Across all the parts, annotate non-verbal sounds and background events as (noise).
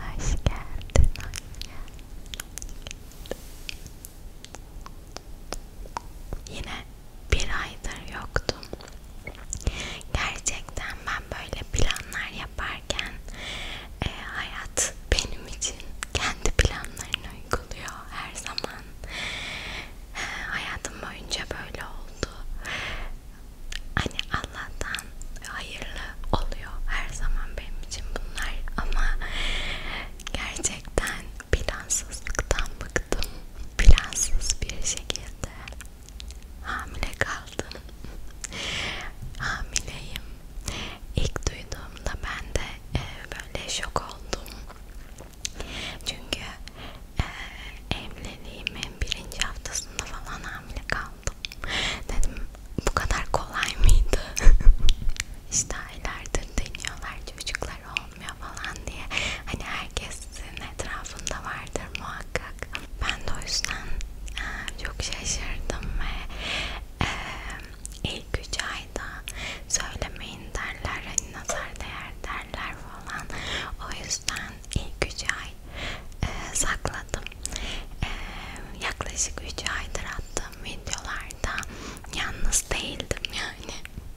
Hoş geldin anne. Yine bir aydır yoktum. Gerçekten ben böyle planlar yaparken e, hayat benim için kendi planlarını uyguluyor her zaman. E, hayatım boyunca böyle oldu hani Allah'tan hayırlı oluyor her zaman benim için bunlar ama gerçekten plansızlıktan bıktım plansız bir şekilde hamile kaldım hamileyim ilk duyduğumda ben de e, böyle şok oldum çünkü e, evliliğimin birinci haftasında falan hamile kaldım uyandım. Dedim bu kadar kolay mıydı? (laughs) işte aylardır deniyorlar çocuklar olmuyor falan diye. Hani herkesin etrafında vardır muhakkak. Ben de o yüzden e, çok şaşırdım ve e, ilk üç ayda söylemeyin derler, hani nazar değer derler falan. O yüzden ben ilk 3 ay e, sakladım. E, yaklaşık 3 aydır attığım videolarda yalnız değildim yani.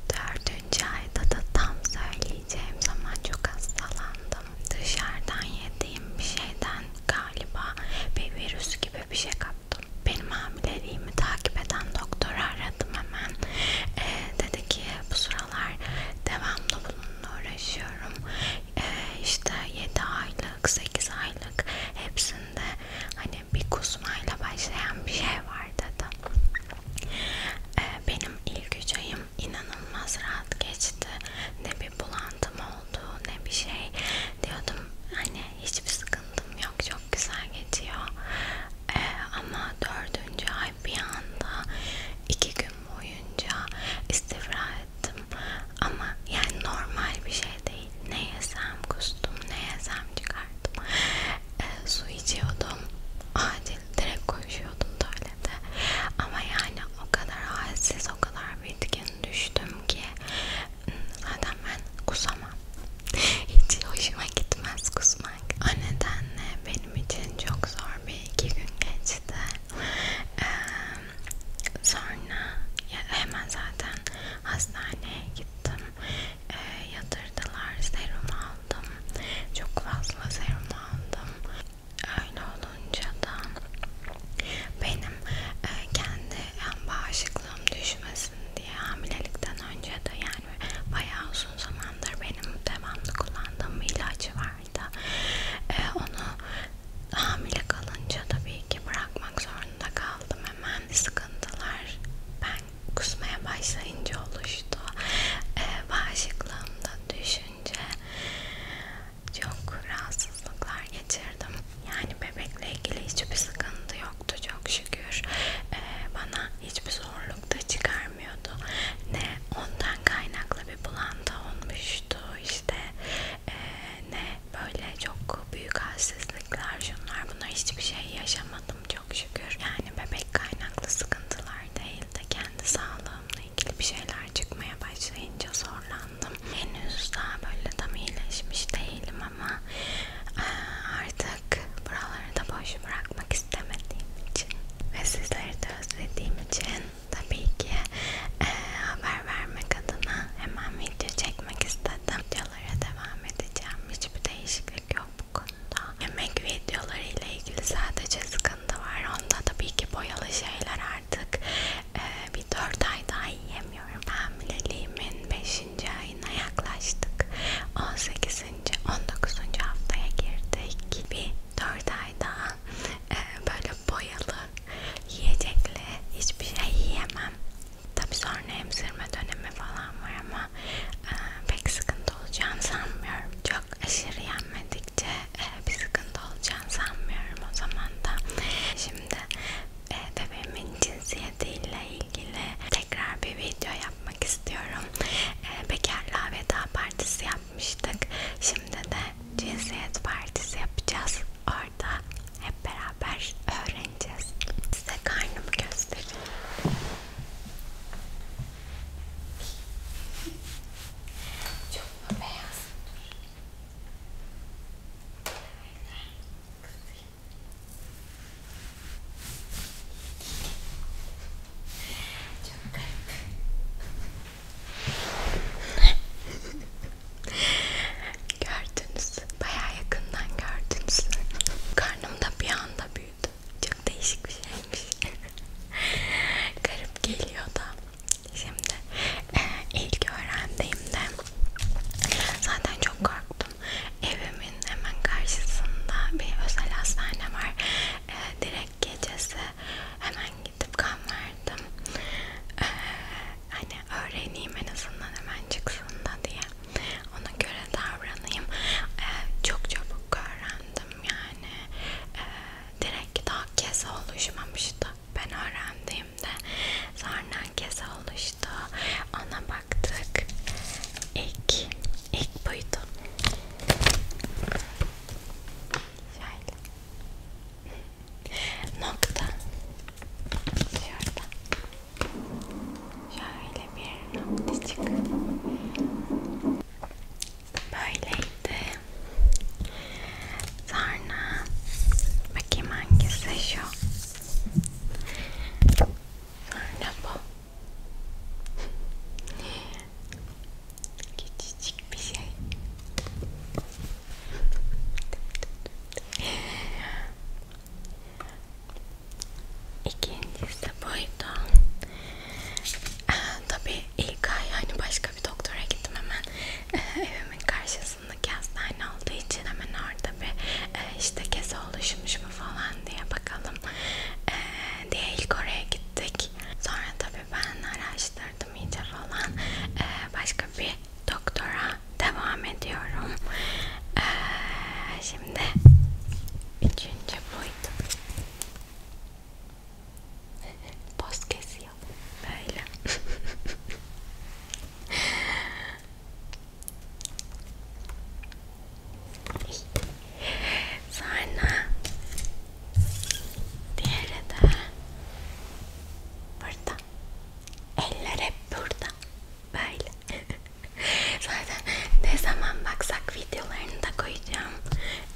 4. ayda da tam söyleyeceğim zaman çok hastalandım. Dışarıdan yediğim bir şeyden galiba bir virüs gibi bir şey kaptım. Benim hamileliğimi takip eden doktoru aradım hemen. E, dedi ki bu sıralar devamlı bununla uğraşıyorum. Ee, işte 7 aylık, 8 aylık hepsinde hani bir kusmayla başlayan bir şey var dedi. Ee, benim ilk üç ayım inanılmaz rahat geçti. Ne bir bulantım oldu, ne bir şey diyordum. Hani hiçbir sıkıntım yok, çok güzel geçiyor. Ee, ama dördüncü ay ay bir anda iki gün boyunca istifra ettim ama yani normal bir şey değil ne yesem kustum ne yesem çıkarttım e, ee, su içiyordum acil direkt koşuyordum tuvalete ama yani o kadar halsiz o kadar bitkin düştüm ki hmm, zaten ben kusamam (laughs) hiç hoşuma gitmez kusma konuşmak. O nedenle benim için çok zor bir iki gün geçti. Ee, sonra ya hemen zaten hastaneye gittim. Ee, yatırdılar, serum aldım. Çok fazla serum aldım. Öyle olunca da benim e, kendi yani bağışıklığım düşmesin diye hamilelikten önce de yani yani bayağı uzun zamandır benim devamlı kullandığım bir ilacı vardı. Ee, onu hamile kalınca tabii ki bırakmak zorunda kaldım. Hemen sıkıntılar ben kusmaya başlayınca oluştu. Ee, bağışıklığımda düşünce çok rahatsızlıklar geçirdim. Yani bebekle ilgili hiçbir sıkıntı yoktu çok şükür. Ee, bana hiçbir zorluk da çıkar vermiyordu ne ondan kaynaklı bir bulantı olmuştu işte e, ne böyle çok büyük halsizlikler şunlar bunlar hiçbir şey yaşamadım çok şükür yani bebek kaynaklı sıkıntılar değil de kendi sağlığımla ilgili bir şeyler çıkmaya başlayınca zorlandım henüz daha böyle tam iyileşmiş değilim ama artık artık buraları da boş bırakmak istemediğim için ve sizleri de özlediğim için tabii ki e, haber vermek adına hemen video çekmek istedim. Videolara devam edeceğim. Hiçbir değişiklik yok bu konuda. Yemek videoları ile ilgili sadece sıkıntı var. Onda tabii ki boyalı şeyler artık e, bir 4 ay daha yiyemiyorum. Hamileliğimin 5 ayına yaklaştık. 18. 19. haftaya girdik. Bir 4 ay daha e, böyle boyalı yiyecekle hiçbir şey yiyemem. Tabi sonra emzirme dönemi falan var ama e, pek sıkıntı olacağını sanmıyorum. Çok aşırı yenmedikçe e, bir sıkıntı olacağını sanmıyorum o zaman da. Şimdi e, bebeğimin cinsiyetiyle ilgili tekrar bir video yapmak istiyorum. E, bekarlığa veda partisi yapmıştık. Şimdi de cinsiyet partisi yapacağız. Orada hep beraber öğreneceğiz. Size karnımı göstereyim. Çok mu beyaz? Dur. Kızıyor. Çok garip. gördünüz. Bayağı yakından gördünüz. Karnım da bir anda büyüdü. Çok değişik bir şeymiş. garip geliyor da. Şimdi e, ilk öğrendiğimde zaten çok korktum yaptım. Evimin hemen karşısında bir özel hastane var. Ee, direkt gecesi hemen gidip kan verdim. Ee, hani öğreneyim en azından hemen çıksın da diye. Ona göre davranayım. Ee, çok çabuk öğrendim yani. Ee, direkt daha kez oluşmamıştı. Ben öğrendim gittiğimde sonra kese oluştu. Ona baktık. İlk, ilk buydu. Şöyle. Nokta. Şurada. Şöyle bir noktacık. Böyleydi. Sonra bakayım hangisi şu. Sonra bu. Küçücük bir şey. İkincisi buydu. Ee, tabii ilk ay hani başka bir doktora gittim hemen ee, (laughs) evimin karşısında yakasındaki hastane olduğu için hemen orada bir e, işte kese oluşmuş mu falan diye bakalım e, diye ilk oraya gittik. Sonra tabii ben araştırdım iyice falan. E, başka bir doktora devam ediyorum. E, şimdi üçüncü buydu. Post kes yazıyor böyle (laughs) sonra diğeri de burada eller hep burada böyle (laughs) zaten ne zaman baksak videolarını da koyacağım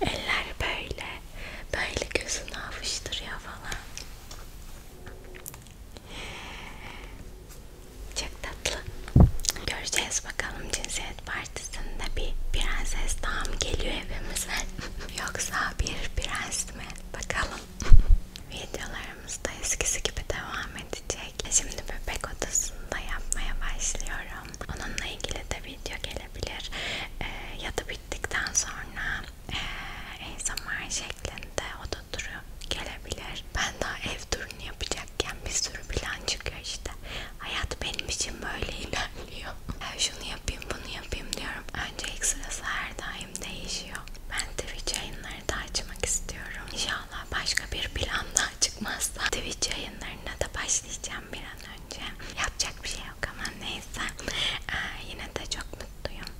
eller böyle böyle gözünü avuşturuyor falan çok tatlı. Göreceğiz bakalım cinsiyet partisinde bir prenses daha mı geliyor evimize (laughs) yoksa bir prens mi? Bakalım. (laughs) Videolarımız da eskisi gibi devam edecek. Şimdi bebek odasında yapmaya başlıyorum. Onunla ilgili de video gelebilir. Ee, ya da bittikten sonra ASMR şeklinde oda turu gelebilir. Ben daha ev turunu yapacakken bir sürü plan çıkıyor işte. Hayat benim için böyle ilerliyor. (laughs) Şunu yapayım bunu yapayım diyorum. Önce ilk sırası her daim değişiyor. Ben Twitch yayınları da açmak istiyorum. İnşallah başka bir plan daha çıkmazsa Twitch yayınlarına da başlayacağım bir an önce. Yapacak bir şey yok ama neyse. Ee, yine de çok mutluyum.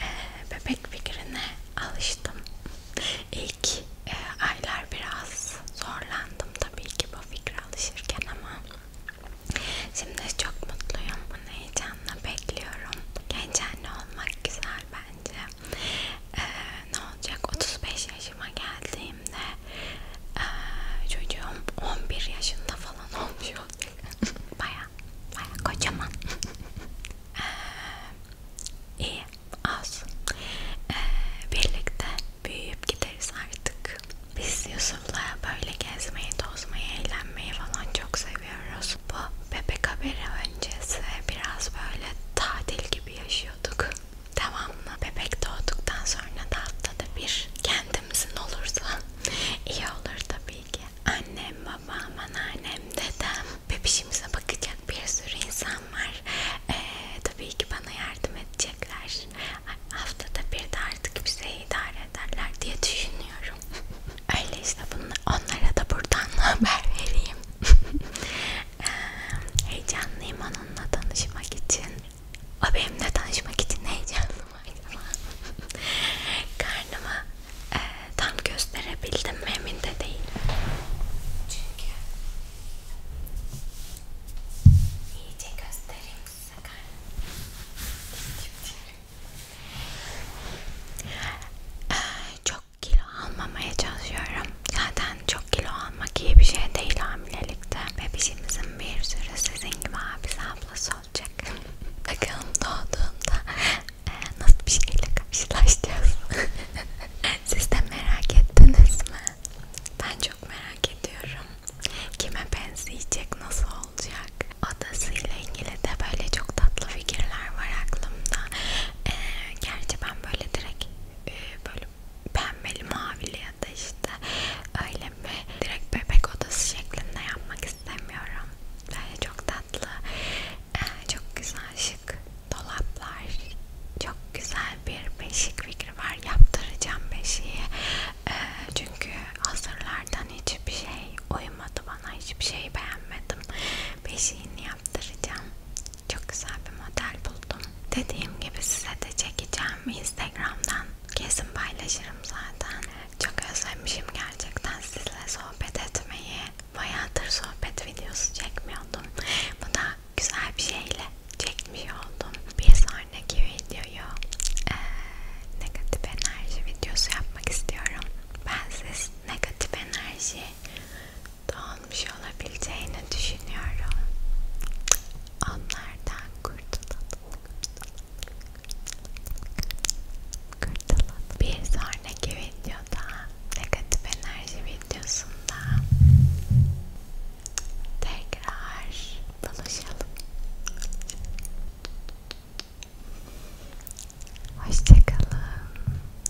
Ee, bebek fikrine alıştım. İlk e, aylar biraz zorlandım tabii ki bu fikre alışırken ama şimdi çok mutluyum. Bunu heyecanla bekliyorum. Genç anne olmak güzel bence. Ee, ne olacak? 35 yaşıma geldiğimde e, çocuğum 11 yaşında falan (laughs) olmuş olacak. baya baya kocaman. e, iyi az. E, birlikte büyüyüp gideriz artık. Biz Yusuf'la böyle gezmeyi, tozmayı, eğlenmeyi falan çok seviyoruz. Bu bebek haberi öncesi biraz böyle tatil gibi yaşıyorduk devamlı bebek doğduktan sonra da haftada bir kendimizin olursa iyi olur tabii ki. Annem, babam, anneannem, dedem, bebişimize bakacak bir sürü insan var. Ee, tabii ki bana yardım edecekler. Haftada bir de artık bize idare ederler diye düşünüyorum. (laughs) Öyle işte bunu, onlara da buradan (laughs) haber vereyim. (laughs) Ee, heyecanlıyım onunla tanışmak için. O benimle tanışmak için heyecanlı (laughs) mıydı? Karnımı e, tam gösterebildim mi emin de değilim. Çünkü iyice göstereyim size karnımı. Ee, çok kilo almamaya çalışıyorum. Zaten çok kilo almak iyi bir şey değil hamilelikte. Bebişimizin bir sürü sizin gibi abisi ablası olacak. Bakalım doğduğunda e, nasıl bir şeyle karşılaşacağız. (laughs) Siz de merak ettiniz mi? Ben çok merak ediyorum. Kime benzeyecek, nasıl olacak? Adasıyla ilgili de böyle çok tatlı fikirler var aklımda. E, gerçi ben böyle direkt e, böyle pembeli mavili ya da işte öyle mi direkt bebek odası şeklinde yapmak istemiyorum. Böyle çok tatlı, eh, çok güzel şık dolaplar, çok güzel bir beşik fikri var. Yaptıracağım beşiği eh, çünkü hazırlardan hiçbir şey uymadı bana, hiçbir şey beğenmedim. Beşiğini yaptıracağım. Çok güzel bir model buldum. Dediğim gibi size de çekeceğim Instagram'dan. Kesin paylaşırım zaten. Çok özlemişim gerçekten sizinle sohbet etmeyi. Bayağıdır sohbet videosu çekmiyordum. Bu da güzel bir şeyle çekmiş oldum. Bir sonraki videoyu e, negatif enerji videosu yapmak istiyorum. Ben siz negatif enerji dağılmış şey olabileceğini düşünüyorum. Onlardan kurtulalım. Kurtulalım. Bir sonraki videoda negatif enerji videosunda tekrar buluşalım. Hoşçakalın.